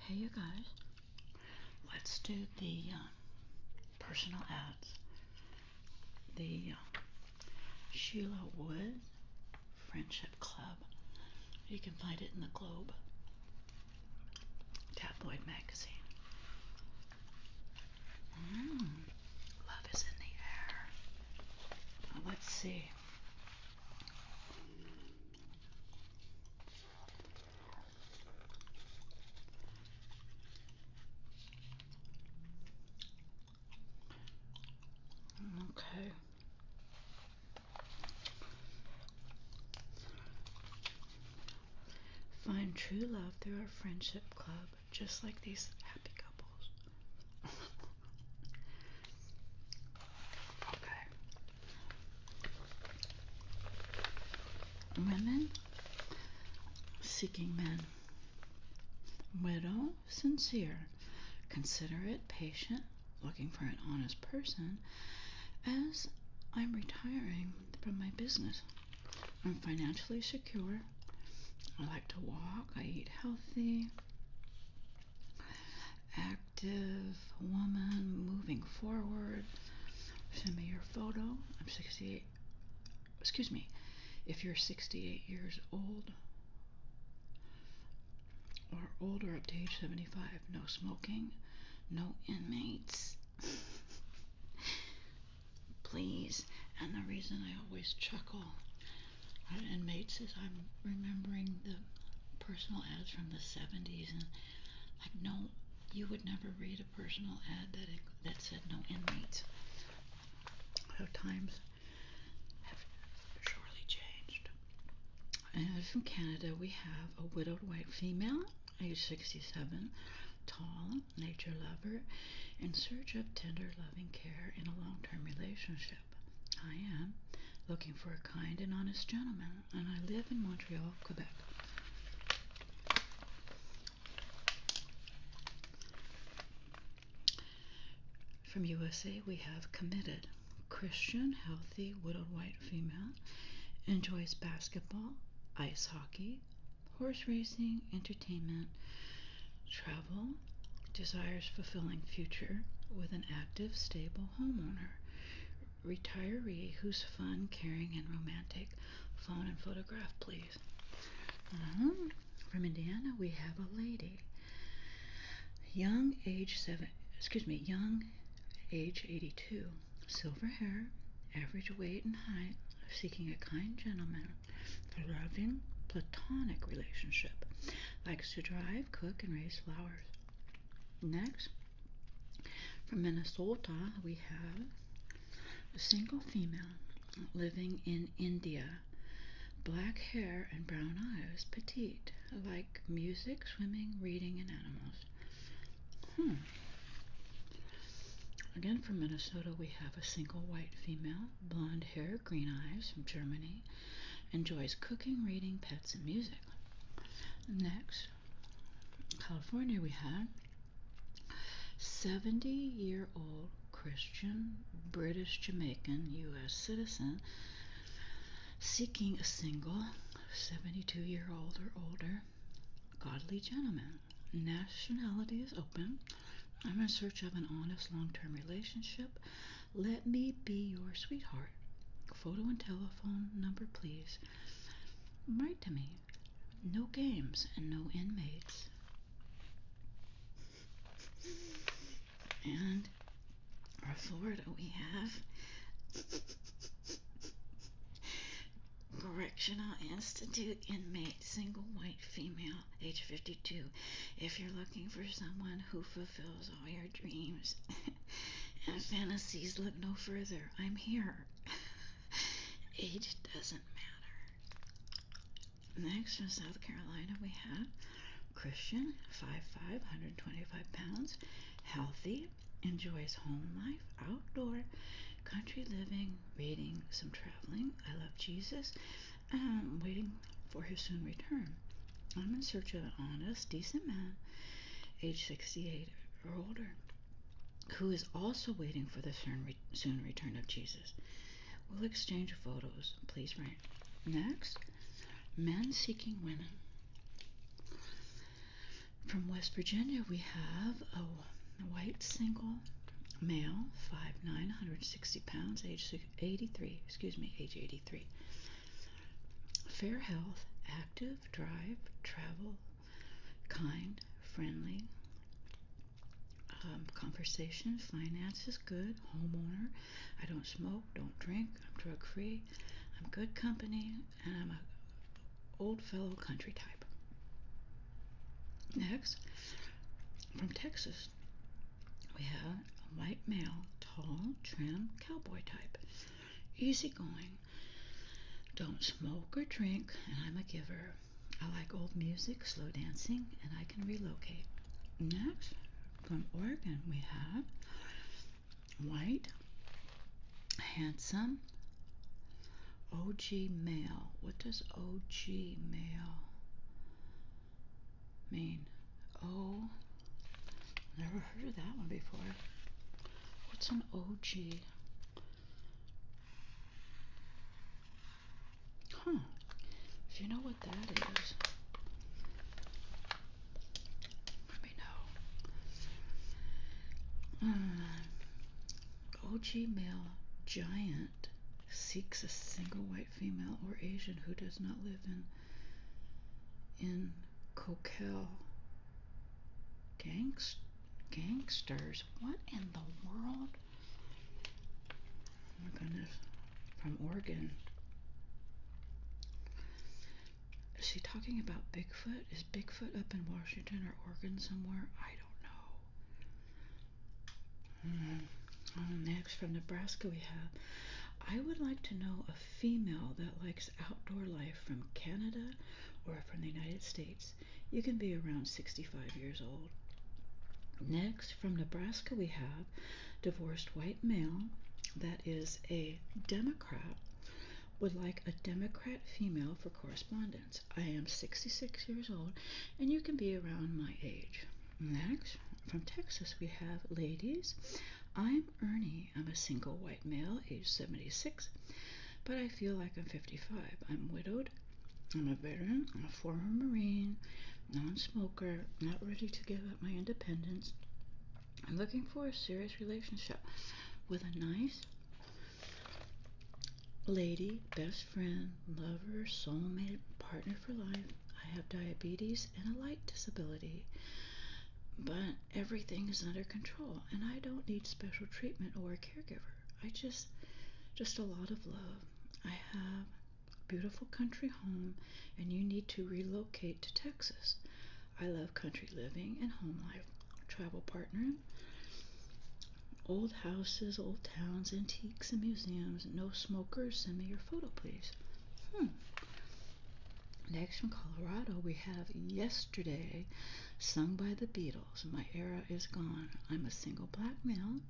Hey, you guys, let's do the um, personal ads. The um, Sheila Wood Friendship Club. You can find it in the Globe Tabloid Magazine. Mm, love is in the air. let's see. Okay. Find true love through our friendship club just like these happy couples. okay. Women seeking men. Widow, sincere, considerate, patient, looking for an honest person. As I'm retiring from my business, I'm financially secure, I like to walk. I eat healthy. Active woman moving forward. Send me your photo. I'm 68. Excuse me. If you're 68 years old or older up to age 75, no smoking, no inmates. Please. And the reason I always chuckle an inmate says, I'm remembering the personal ads from the 70s, and like, no, you would never read a personal ad that, it, that said no inmates. So times have surely changed. And from Canada, we have a widowed white female, age 67, tall, nature lover, in search of tender loving care in a long term relationship. I am looking for a kind and honest gentleman, and I live in Montreal, Quebec. From USA, we have committed Christian, healthy, widowed white female, enjoys basketball, ice hockey, horse racing, entertainment, travel, desires fulfilling future with an active, stable homeowner, retiree who's fun, caring, and romantic. Phone and photograph, please. Um, from Indiana, we have a lady. Young age seven, excuse me, young age 82, silver hair, average weight and height, seeking a kind gentleman loving platonic relationship, likes to drive, cook, and raise flowers. Next, from Minnesota, we have a single female living in India. Black hair and brown eyes, petite, like music, swimming, reading, and animals. Hmm. Again, from Minnesota, we have a single white female blonde hair, green eyes from Germany, enjoys cooking, reading, pets, and music. Next, California, we have 70 year old Christian British Jamaican U.S. citizen seeking a single 72 year old or older godly gentleman nationality is open. I'm in search of an honest long term relationship. Let me be your sweetheart. Photo and telephone number, please. Write to me. No games and no inmates. And our Florida, we have Correctional Institute inmate, single white female, age 52. If you're looking for someone who fulfills all your dreams and fantasies, look no further. I'm here. age doesn't matter. Next from South Carolina, we have Christian, 5'5, 125 pounds, healthy, enjoys home life, outdoor, country living, reading, some travel traveling. I love Jesus. I'm um, waiting for his soon return. I'm in search of an honest, decent man, age 68 or older, who is also waiting for the soon return of Jesus. We'll exchange photos. Please write. Next, men seeking women. From West Virginia, we have a white single male, five nine, hundred sixty pounds, age 83, excuse me, age 83. Fair health, active, drive, travel, kind, friendly, um, conversation, finances, good, homeowner. I don't smoke, don't drink, I'm drug free, I'm good company, and I'm a old fellow country type. Next, from Texas, we have a white male, tall, trim, cowboy type. Easygoing. Don't smoke or drink, and I'm a giver. I like old music, slow dancing, and I can relocate. Next, from Oregon, we have white, handsome, OG mail. What does OG mail mean? Oh, never heard of that one before. What's an OG? Huh. If you know what that is, let me know. Hmm. OG male giant seeks a single white female or Asian who does not live in in Coquel. Gangst gangsters. What in the world? Oh my goodness. From Oregon. Is she talking about Bigfoot? Is Bigfoot up in Washington or Oregon somewhere? I don't know next from Nebraska, we have. I would like to know a female that likes outdoor life from Canada or from the United States. You can be around 65 years old. Next, from Nebraska, we have divorced white male that is a Democrat would like a Democrat female for correspondence. I am 66 years old, and you can be around my age. Next, from Texas, we have Ladies. I'm Ernie. I'm a single white male, age 76, but I feel like I'm 55. I'm widowed. I'm a veteran. I'm a former Marine, non smoker, not ready to give up my independence. I'm looking for a serious relationship with a nice, lady, best friend, lover, soulmate, partner for life. I have diabetes and a light disability, but everything is under control, and I don't need special treatment or a caregiver. I just, just a lot of love. I have beautiful country home, and you need to relocate to Texas. I love country living and home life travel partner. Old houses, old towns, antiques, and museums. No smokers. Send me your photo, please. Hmm. Next from Colorado, we have Yesterday, sung by the Beatles. My era is gone. I'm a single black male.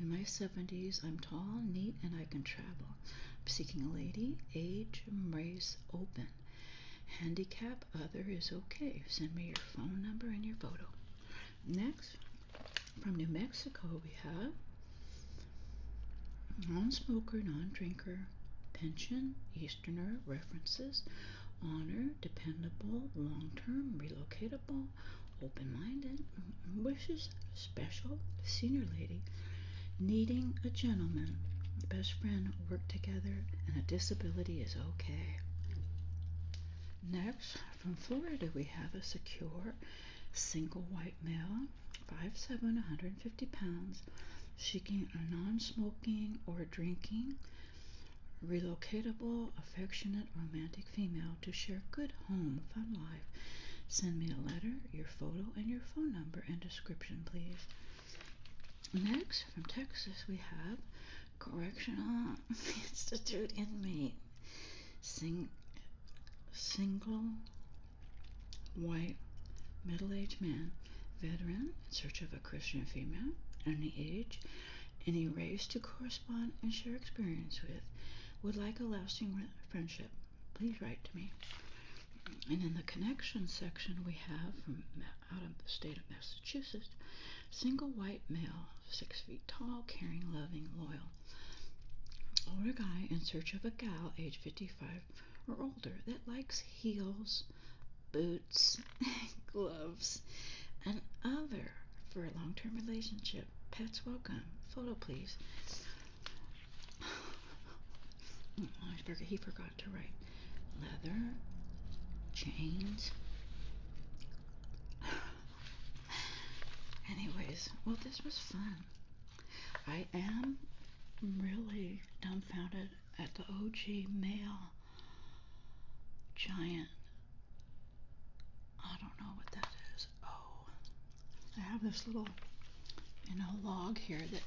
In my 70s, I'm tall, neat, and I can travel. seeking a lady, age, race open. Handicap other is okay. Send me your phone number and your photo. Next, from New Mexico, we have non smoker, non drinker, pension, Easterner, references, honor, dependable, long term, relocatable, open minded, mm-hmm, wishes, special, senior lady, needing a gentleman, best friend, work together, and a disability is okay. Next, from Florida, we have a secure single white male, 5'7, 150 pounds, seeking a non smoking or drinking, relocatable, affectionate, romantic female to share good home, fun life. Send me a letter, your photo, and your phone number and description, please. Next, from Texas, we have Correctional Institute inmate, sing, single white middle aged man, veteran in search of a Christian female, any age, any race to correspond and share experience with, would like a lasting friendship. Please write to me. And in the connection section, we have from out of the state of Massachusetts, single white male, six feet tall, caring, loving, loyal. Older guy in search of a gal, age 55 or older, that likes heels, boots, gloves, and other for a long term relationship. Pets welcome. Photo, please. oh, forgot, he forgot to write leather chains. Anyways, well, this was fun. I am really dumbfounded at the OG male giant. I don't know what that is. Oh, I have this little, you know, log here that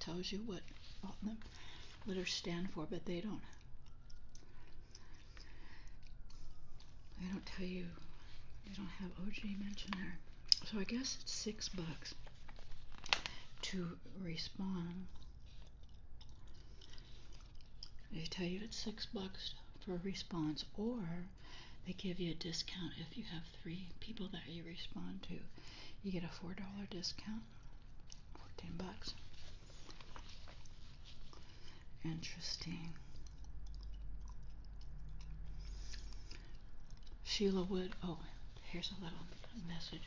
tells you what all them letters stand for, but they don't. They don't tell you. They don't have OG mentioned there. So I guess it's six bucks to respond. They tell you it's six bucks for a response, or they give you a discount if you have three people that you respond to. You get a four dollar discount 14 bucks. Interesting. Sheila Wood. Oh, here's a little message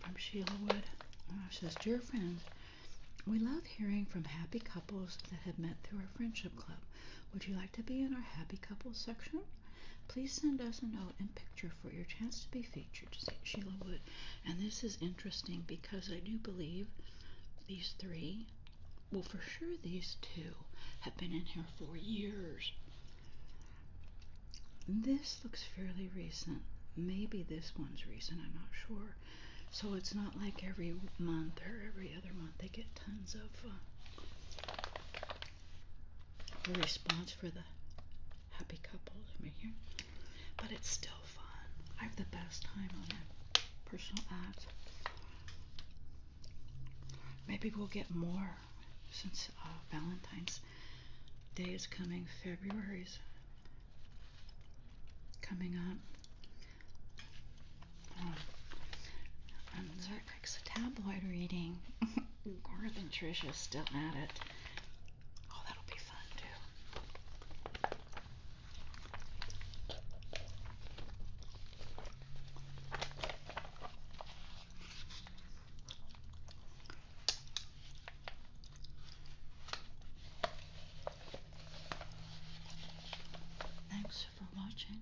from Sheila Wood. Oh, says, Dear friends, we love hearing from happy couples that have met through our friendship club. Would you like to be in our happy couples section? Please send us a note and pick for your chance to be featured, Sheila Wood. And this is interesting because I do believe these three, well, for sure, these two have been in here for years. This looks fairly recent. Maybe this one's recent, I'm not sure. So it's not like every month or every other month they get tons of uh, a response for the happy couple in here. But it's still fun. I have the best time on that personal ads. Maybe we'll get more since uh, Valentine's Day is coming. February's coming up. Um, Tyler a tabloid reading. Garth and Trisha's still at it. Oh, that'll be fun too. Thanks for watching.